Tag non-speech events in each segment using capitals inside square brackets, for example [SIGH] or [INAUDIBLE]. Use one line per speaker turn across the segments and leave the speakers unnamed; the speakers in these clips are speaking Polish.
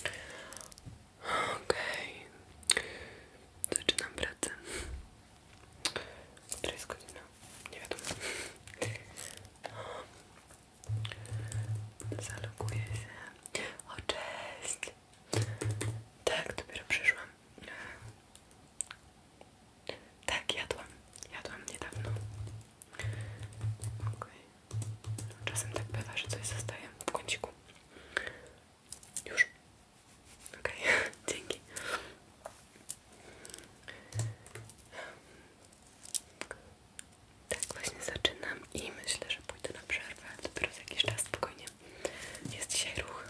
Okej, okay. zaczynam pracę. Która jest godzina? Nie wiadomo. Zaloguję się. O, cześć! Tak, dopiero przyszłam. Tak, jadłam. Jadłam niedawno. Okej. Czasem tak bywa, że coś zostaje w kąciku. Już. Okej, okay. [LAUGHS] dzięki. Tak właśnie zaczynam i myślę, że pójdę na przerwę, ale dopiero za jakiś czas spokojnie. Jest dzisiaj ruch.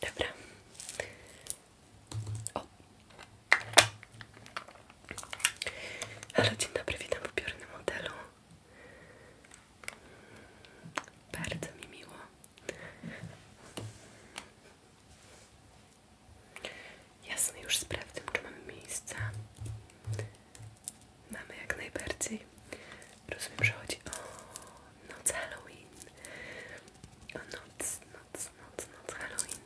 Dobra. O, Halo, dzień dobry, witam w upiornym modelu. Bardzo mi miło. Jasne, już sprawdzę, czy mamy miejsca. Mamy jak najbardziej. Rozumiem, że chodzi o noc Halloween. O noc, noc, noc, noc Halloween.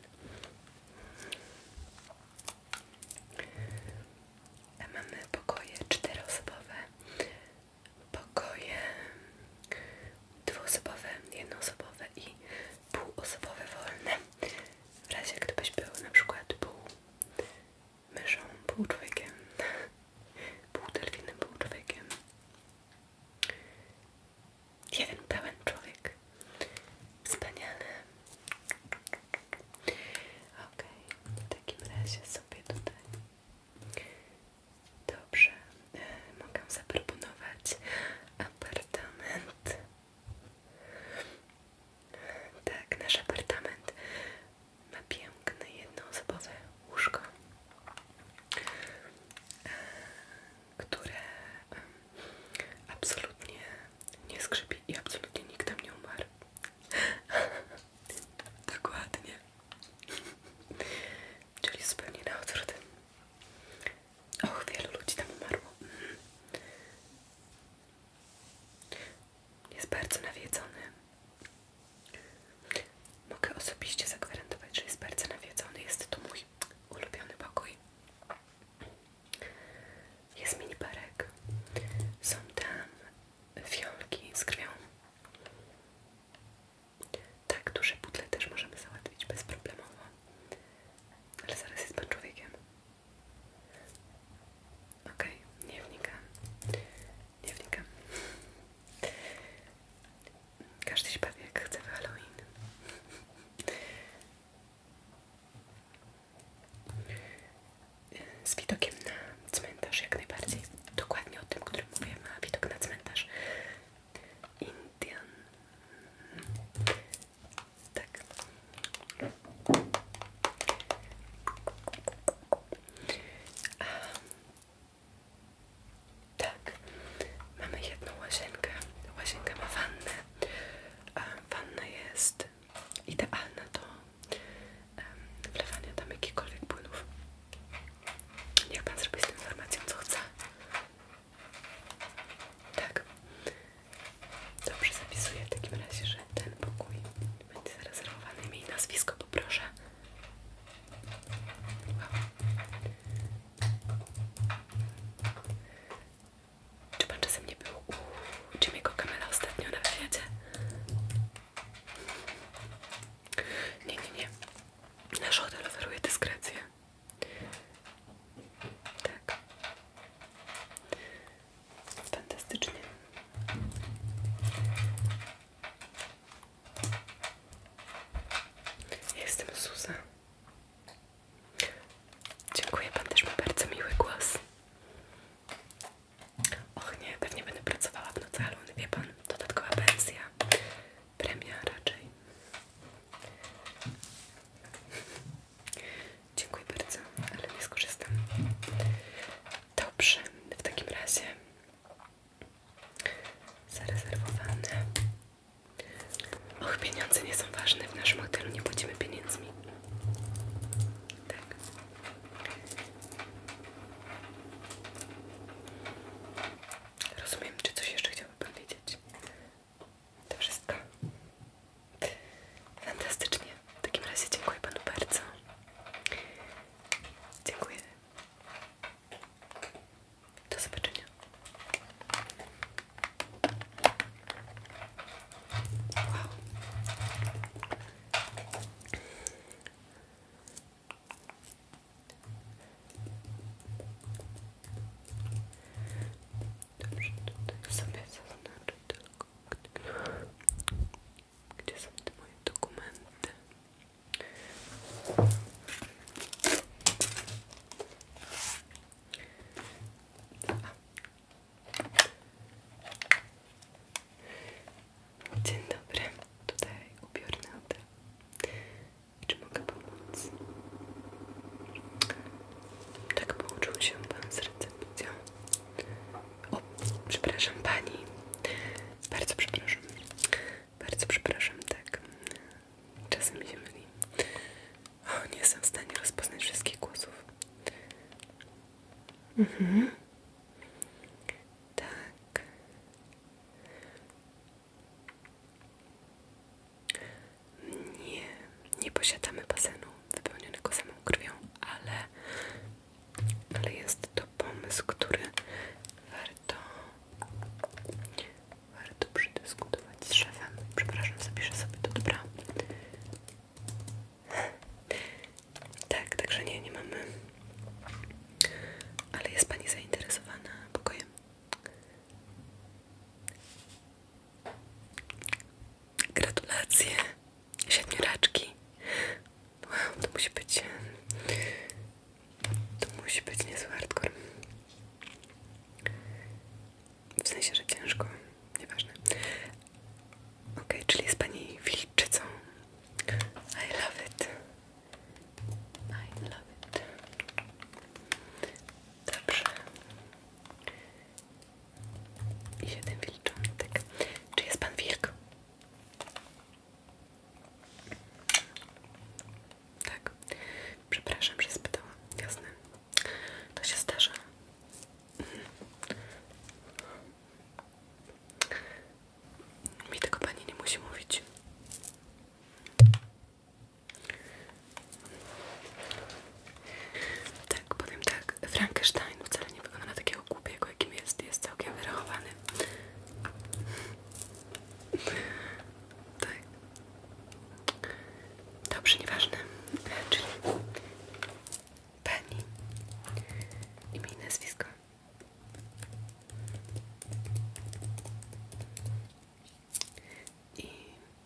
Mamy pokoje czteroosobowe, pokoje dwuosobowe, jednoosobowe i półosobowe wolne. W razie gdybyś był na przykład pół myszą, pół człowiekiem, [LAUGHS] pół delfinem, pół człowiekiem. Jeden pełen człowiek. Wspaniale. Ok, w takim razie sobie tutaj. Dobrze, e, mogę zaproponować apartament. Tak, nasz apartament ma piękne jednoosobowe łóżko. E, które absolutnie nie skrzypi i absolutnie nikt tam nie umarł. [LAUGHS] Dokładnie. [LAUGHS] Czyli zupełnie na odwrót. Och, wielu ludzi tam umarło. Jest bardzo nawiedzony. Mogę osobiście zagwarantować, że jest bardzo nawiedzony. Jest to mój ulubiony pokój. Jest mini parek. Są tam fiolki z krwią. Tak, duże butle też możemy załatwić bezproblemowo. Ale zaraz jest pan człowiekiem. Okej, okay, nie wnikam. Nie wnikam. Każdy się bawi chce w Halloween z widokiem na cmentarz jak najbardziej. Dokładnie o tym, o którym mówiłam, a widok na cmentarz. Indian. Tak. A, tak. Mamy jedną łazienkę. Łazienka ma wannę. Wanna jest idealna do wlewania tam jakichkolwiek płynów. Niech Pan zrobi z tą informacją co chce. Tak. Dobrze, zapisuję w takim razie, że ten pokój będzie zarezerwowany. Imię i nazwisko poproszę. Wow. Czy pan czasem nie był u Jimmy'ego Kamela ostatnio na wywiadzie? Nie, nie, nie. Nasz hotel oferuje dyskrecję. Tak. Fantastycznie. jestem Suza. Dziękuję, pan też ma bardzo miły głos. Och nie, pewnie będę pracowała w nocy, ale on pan, dodatkowa pensja, premia raczej. Dziękuję bardzo, ale nie skorzystam. Dobrze, w takim razie zarezerwowane Och, pieniądze nie są ważne. W naszym hotelu nie płacimy pieniędzmi. Tak. Rozumiem, czy coś jeszcze chciałabym powiedzieć. To wszystko. Fantastycznie. W takim razie dziękuję panu bardzo. Dziękuję. Do zobaczenia. Wow. Dobrze, tutaj sobie zaznaczę tylko, gdzie są te moje dokumenty. Dzień dobry, tutaj ubiór Nady. Czy mogę pomóc? Tak połączył się pan z recepcją. O, przepraszam pani. Bardzo przepraszam. Bardzo przepraszam, tak. Czasem się myli. O, nie jestem w stanie rozpoznać wszystkich głosów. Mhm. Tak. Nie, nie posiadamy basenu wypełnionego samą krwią, ale, ale jest to pomysł, który warto warto przedyskutować z szefem. Przepraszam, zapiszę sobie to, dobra. Tak, także nie, nie mamy. Ale jest Pani zainteresowana pokojem? Gratulacje, siedmioraczki. Wow, to musi być to musi być niezły hardcore. W sensie, że ciężko, nieważne. Okej, okay, czyli jest pani wilczycą. I love it. I love it. Dobrze. I siedem tak. Czy jest pan wilk? Tak, przepraszam, że spytałam. Jasne, to się zdarza. Mhm. Mi tego pani nie musi mówić. Tak, powiem tak, Frankenstein wcale nie wygląda na takiego głupiego, jakim jest. Jest całkiem wyrachowany. Tak. Dobrze, nieważne. Czyli pani imię i nazwisko. I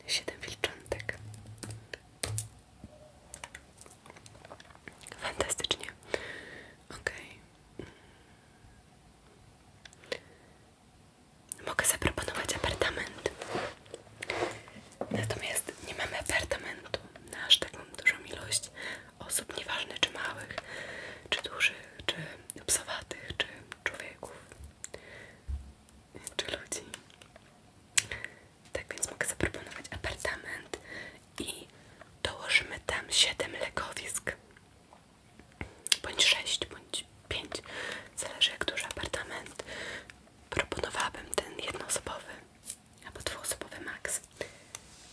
siedem wilczątek. Fantastycznie. Okay. Mogę zaproponować apartament. Natomiast nie mamy apartamentu na aż taką dużą ilość osób, nieważne czy małych, czy dużych, czy psowatych, czy człowieków, czy ludzi. Tak więc mogę zaproponować apartament i dołożymy tam 7 lekowisk bądź sześć, bądź pięć, zależy jak duży apartament. Proponowałabym ten jednoosobowy albo dwuosobowy maks,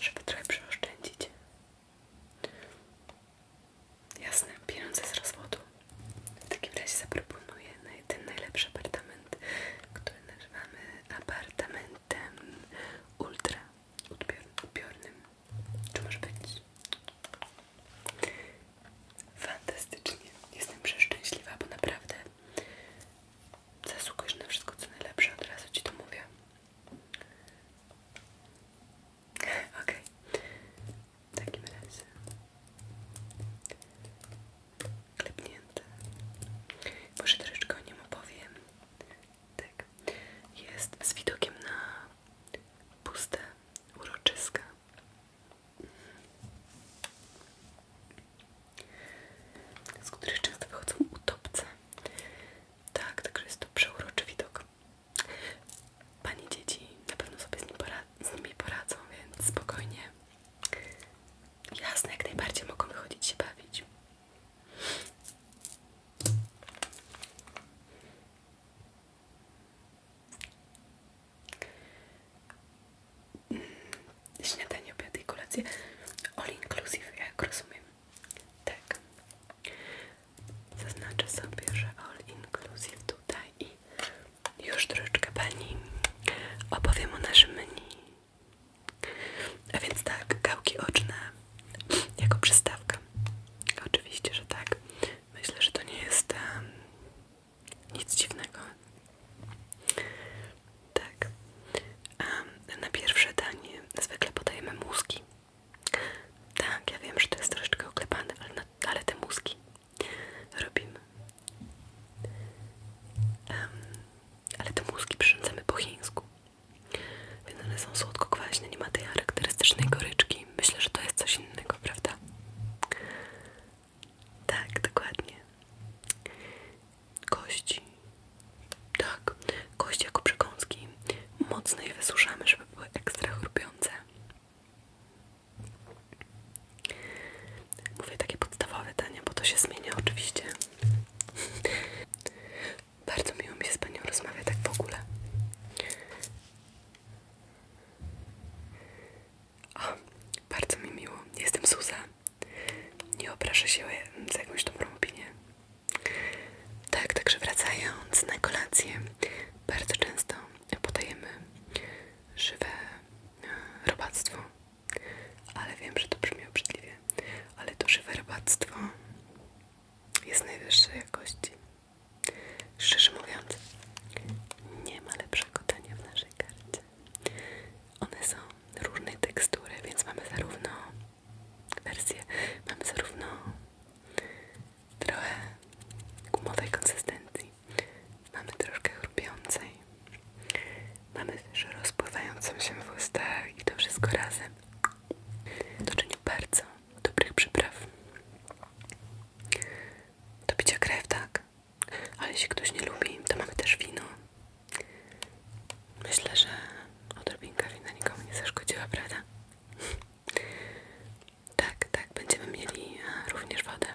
żeby trochę przeoszczędzić. Jasne, pieniądze z rozwodu. W takim razie zaproponuję ten najlepszy apartament, który nazywamy apartamentem ultra odbiornym. Czy może być? Fantastycznie. Jestem przeszczęśliwa, bo naprawdę zasługujesz na wszystko co najlepsze. Od razu Ci to mówię. Okej. W takim razie. Klepnięte. Może troszeczkę o nim opowiem tak, jest z widokiem na puste uroczyska. Mhm. Z których często wychodzą utopce. Tak, także jest to przeuroczy widok. Pani dzieci na pewno sobie z, nimi poradzą, więc spokojnie. Jasne, jak najbardziej mogą wychodzić się bawić. Śniadanie, obiad i kolację. All inclusive, jak rozumiem. Tak. Zaznaczę sobie, że all inclusive tutaj i już troszeczkę Pani opowiem o naszym menu. A więc tak, gałki oczne jako przystawkę, Oczywiście, że tak. Myślę, że to nie jest nic dziwnego. Tak. na pierwsze danie zwykle podajemy mózgi. Tak, ja wiem, że to jest troszeczkę oklepane, ale, te mózgi robimy. ale te mózgi przyrządzamy po chińsku. Więc one są słodko-kwaśne, nie ma tej charakterystycznej goryczki. Myślę, że to jest coś innego, prawda? Tak, dokładnie. Kości. Tak, kości jako przekąski. Mocno je wysuszamy, żeby były ekstra chrupiące. Mówię takie podstawowe dania, bo to się zmienia oczywiście. Bardzo miło mi się z Panią rozmawia, tak w ogóle. O, bardzo mi miło. Jestem Suza. Nie obrażę się za jakąś dobrą opinię. Tak, także wracając na kolację, bardzo często podajemy żywe e, robactwo. Ale wiem, że to brzmi obrzydliwie, ale to żywe robactwo jest najwyższej jakości. Szczerze mówiąc, nie ma lepszego dania w naszej karcie. One są różnej tekstury, więc mamy zarówno wersję, mamy zarówno trochę gumowej konsystencji, mamy troszkę chrupiącej, mamy też rozpływającą się w ustach i to wszystko razem to Doczeniu bardzo dobrych przypraw. Do picia krew, tak? Ale jeśli ktoś nie lubi, to mamy też wino. Myślę, że odrobinka wina nikomu nie zaszkodziła, prawda? Tak, tak, będziemy mieli e, również wodę.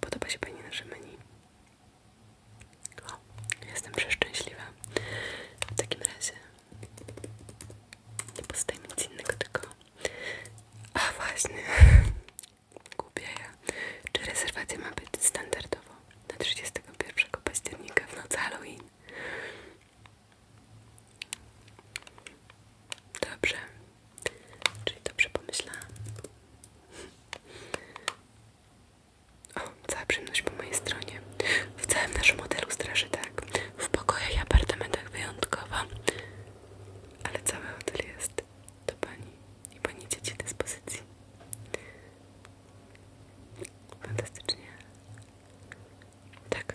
Podoba się Pani nasze menu? O, jestem przeszczęśliwa. W takim razie nie pozostaje mi nic innego, tylko... A właśnie, [LAUGHS] głupia ja. Czy rezerwacja ma być standardowo na 31 października w noc Halloween? Dobrze, czyli dobrze pomyślałam. O, cała przyjemność po mojej stronie. W całym naszym hotelu straży tak. W pokojach i apartamentach wyjątkowo. Ale cały hotel jest do pani i pani dzieci dyspozycji. Fantastycznie. Tak,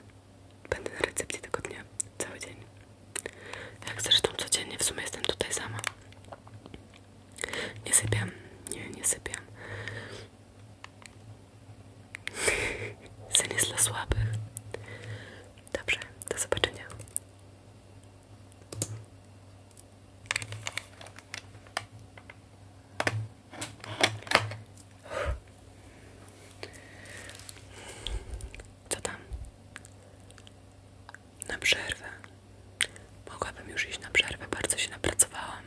będę na recepcji tego dnia. Cały dzień. Jak zresztą codziennie w sumie jestem tutaj sama. Nie sypiam, nie, nie sypiam. Sen [LAUGHS] jest dla do zobaczenia. Co tam? na przerwę. Mogłabym już iść na przerwę, bardzo się napracowałam.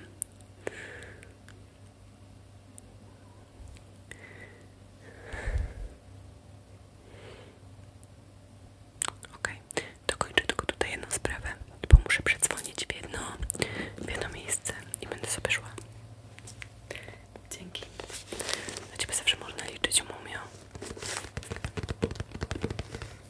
Ok, dokończę tylko tutaj jedną sprawę, bo muszę przedzwonić w jedno, jedno miejsce i będę sobie szła. Dzięki. Na ciebie zawsze można liczyć, mumio.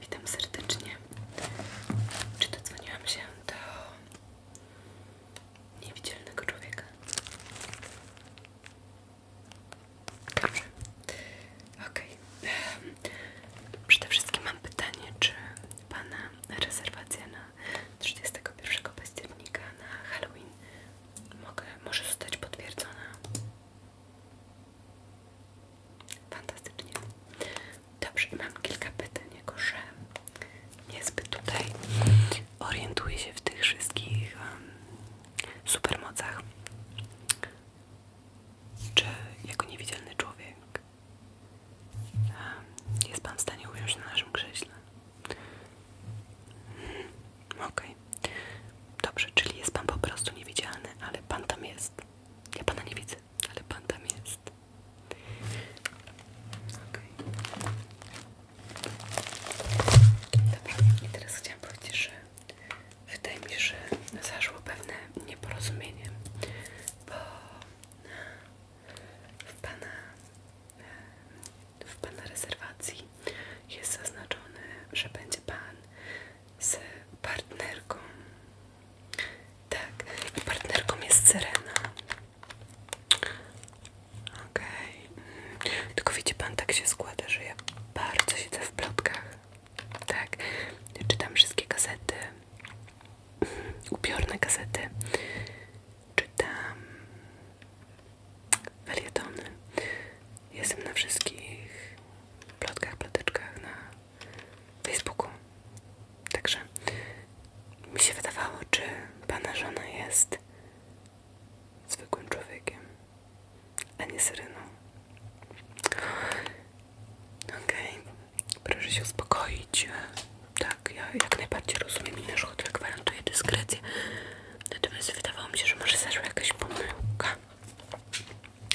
Witam serdecznie. Czy dodzwoniłam się do niewidzialnego człowieka? Dobrze. Okej. Okay. Przede wszystkim mam pytanie, czy Pana rezerwacja na 31 października na Halloween może zostać potwierdzona? Fantastycznie. Dobrze, mam kilka pytań, jako że niezbyt tutaj orientuję się w tych wszystkich um, supermocach. Czy jako niewidzialny człowiek jest Pan w stanie ująć na naszym krześle? Hmm, okej. Dobrze, czyli jest Pan po prostu niewidzialny, ale Pan tam jest. Ja Pana nie widzę, ale Pan tam jest jest. Dobra, teraz chciałam powiedzieć, że wydaje mi się, że zaszło pewne nieporozumienie, bo e, w pana, e, w pana rezerwacji jest zaznaczone, że będzie pan z partnerką. Tak, partnerką jest Serena. Okej. Mm. Tylko wiecie pan, tak się składa, że ja bardzo siedzę w plotkach. Tak, czytam wszystkie gazety, mm, upiorne gazety, czytam felietony. Jestem na wszystkich plotkach, ploteczkach, na Facebooku. Także mi się wydawało, czy pana żona jest zwykłym człowiekiem, a nie syreną. Okej, okay. proszę się uspokoić. Tak, ja jak najbardziej rozumiem i nasz hotel gwarantuje dyskrecję. Natomiast wydawało mi się, że może zaszła jakaś pomyłka,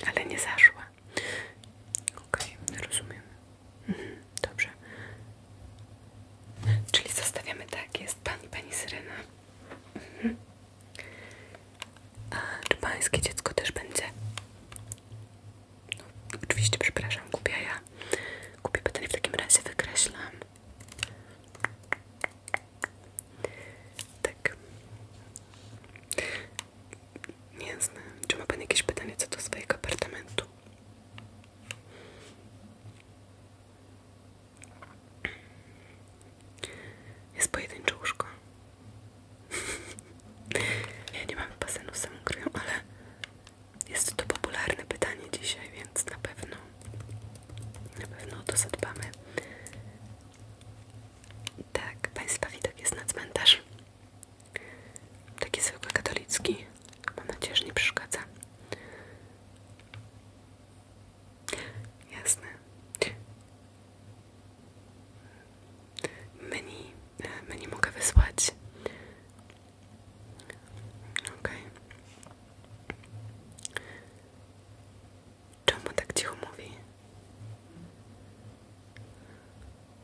ale nie zaszła. OK, rozumiem. Mhm, dobrze. Czyli zostawiamy tak, jest pani pani Syrena. Mhm. A czy pańskie dziecko też będzie? No, oczywiście, przepraszam, kupię ja. Kupię pytanie w takim razie wykreślam. Tak. Nie Czy ma Pan jakieś pytanie co do swojego apartamentu? Jest pojedyncze łóżko. ja nie mam basenu z samą ale jest to popularne pytanie dzisiaj, więc na pewno na pewno o to zadbamy. Tak, Państwa widok jest na cmentarz. Taki zwykły katolicki. Mam nadzieję, że nie przeszkadza. Jasne. Menu, menu mogę wysłać. Okej. Czemu tak cicho mówi?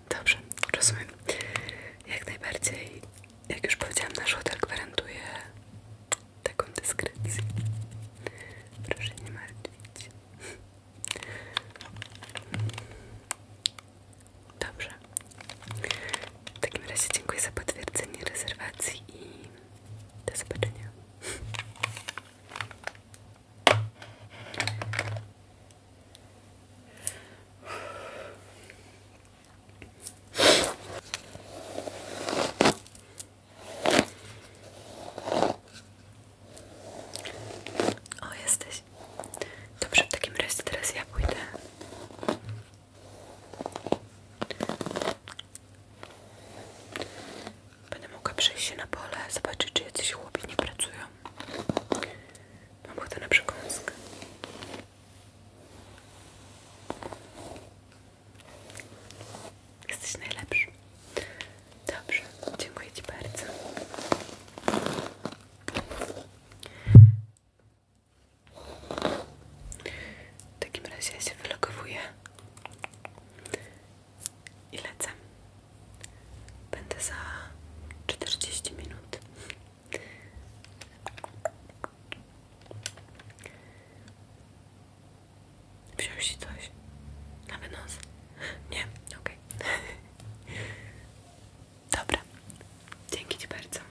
Dobrze, rozumiem. Jak najbardziej, jak już powiedziałam, nasz hotel gwarantuje taką dyskrecję. Proszę nie martwić. Dobrze. W takim razie dziękuję za potwierdzenie rezerwacji i do zobaczenia. O, jesteś. Dobrze, w takim razie teraz ja pójdę. Będę mogła przejść się na pole, zobaczyć, czy jacyś chłopi nie pracują. Mam ochotę na przekąskę. Jesteś najlepszy. Dobrze, dziękuję Ci bardzo. W takim razie ja się wylogowuję i lecę. Będę za 40 minut. Wziął się coś na wynos? Nie, okej. Okay. [LAUGHS] Dobra, dzięki bardzo.